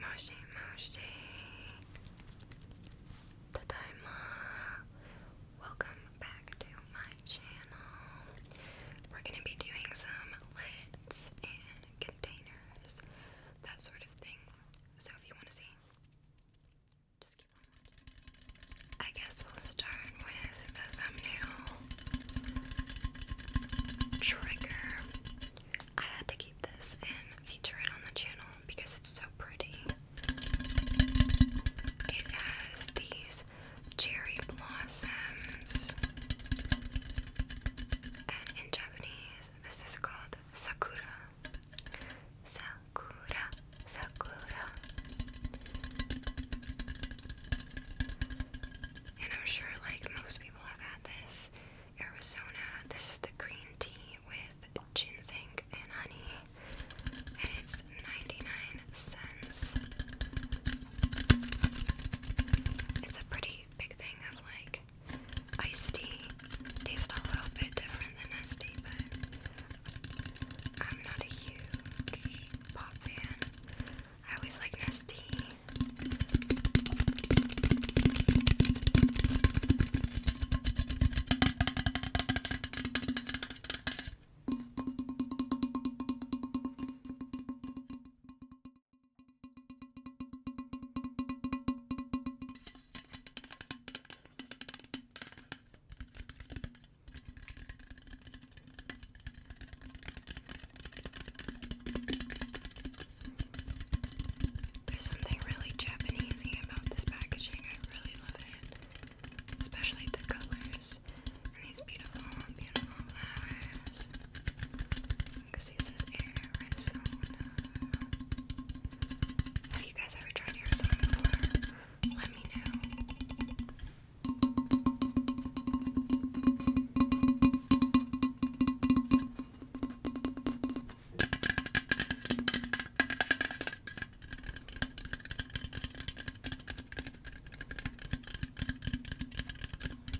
もしもし。ただいま。Welcome back to my channel. We're gonna be doing some lids and I guess we'll start with the thumbnail trigger. I had to keep this and feature it on the channel because it's so pretty. It has these cherry blossoms in Japanese, this is called sakura. Sakura, sakura. And I'm sure, like most people have had this. Arizona, this is the green tea with ginseng and honey, and it's 99 cents. It's a pretty big thing of like iced tea. Tastes a little bit different than iced tea, but I'm not a huge pop fan. I always like Nestea. There's something really Japanese about this packaging. I really love it, especially the colors and these beautiful, beautiful flowers. Have you guys ever tried Arizona before? Let me know.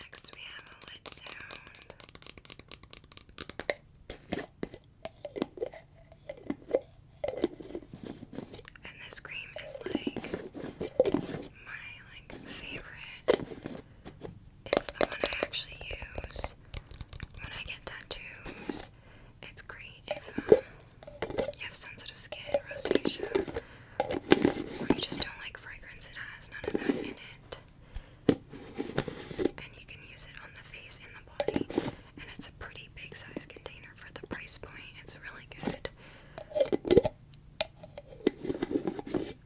Next, we have a lid sound. And this cream is like my like favorite. It's the one I actually use when I get tattoos. It's great if um, you have sensitive skin, rosacea, or you just don't like fragrance. It has none of that in it, and you can use it on the face and the body. And it's a pretty big size container for the price point. It's really good.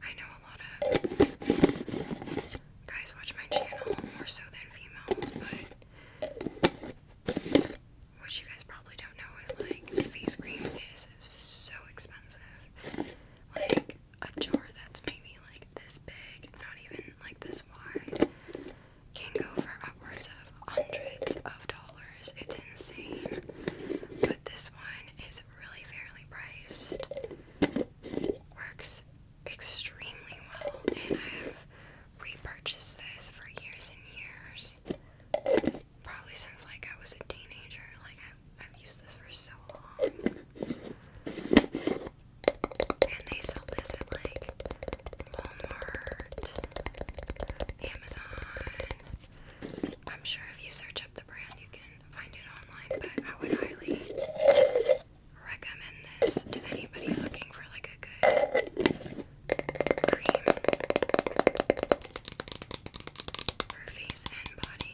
I know a lot of guys watch my channel more so than females, but what you guys probably don't know is like face cream is so expensive. Like a jar that's maybe like this big, not even like this wide, can go for upwards of hundreds of dollars. It's insane. But this one is is really fairly priced, works extremely well, and I have repurchased this for years and years. Probably since like I was a teenager. Like I've I've used this for so long. And they sell this at like Walmart, Amazon, I'm sure if you search up the brand, you can find it online, but I would highly recommend this to anybody looking for like a good cream for face and body.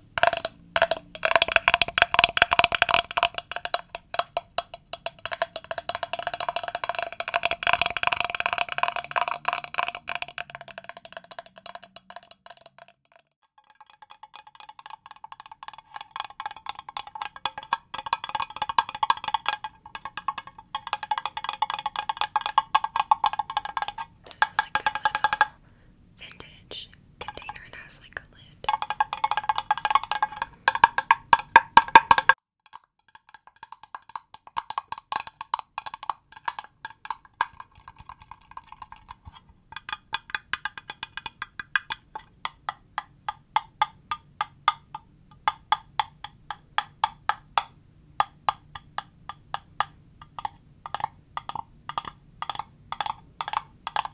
This is like a little vintage container and has like a lid.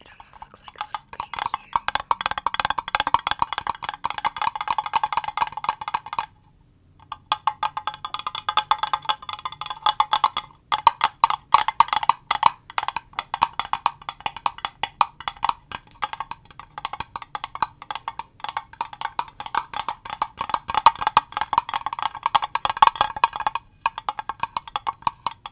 It almost looks like a little green cube. I I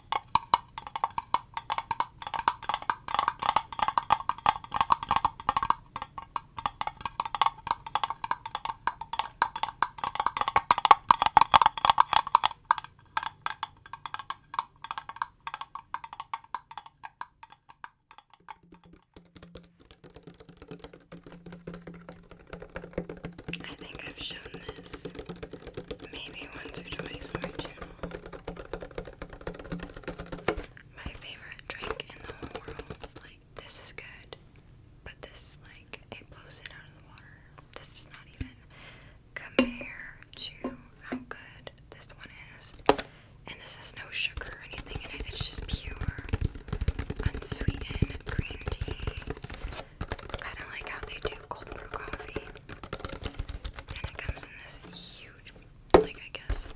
think I've shown this maybe once or twice on my channel. My favorite drink in the whole world. Like, this is good, but this, like, it blows it out of the water. This is not even compare to how good this one is. And this has no sugar or anything in it, it's just pure unsweetened green tea. I don't like how they do cold brew coffee. And it comes in this huge, like, I guess.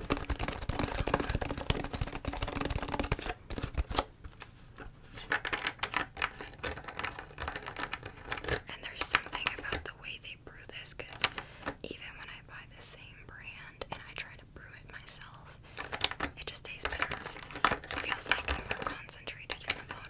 And there's something about the way they brew this because even when I buy the same brand and I try to brew it myself, it just tastes better. feels like more concentrated in the bottle.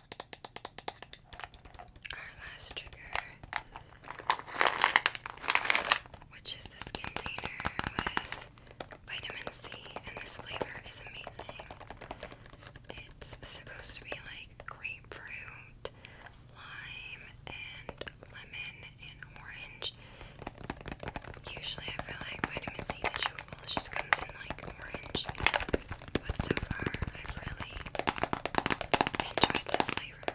Our last trigger, which is this container with vitamin C, and this flavor is amazing. It's supposed to be like grapefruit, lime, and lemon, and orange. Usually, I feel like vitamin C chewables just comes in like orange. so far, i really enjoyed this flavor.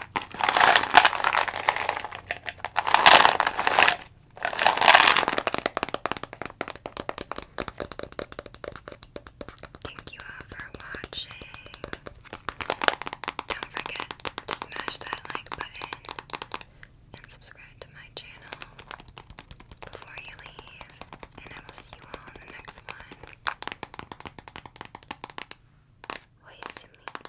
Thank you for watching. Don't forget to smash that like button and subscribe to my channel before you leave. And I will see you all in the next one. Wait,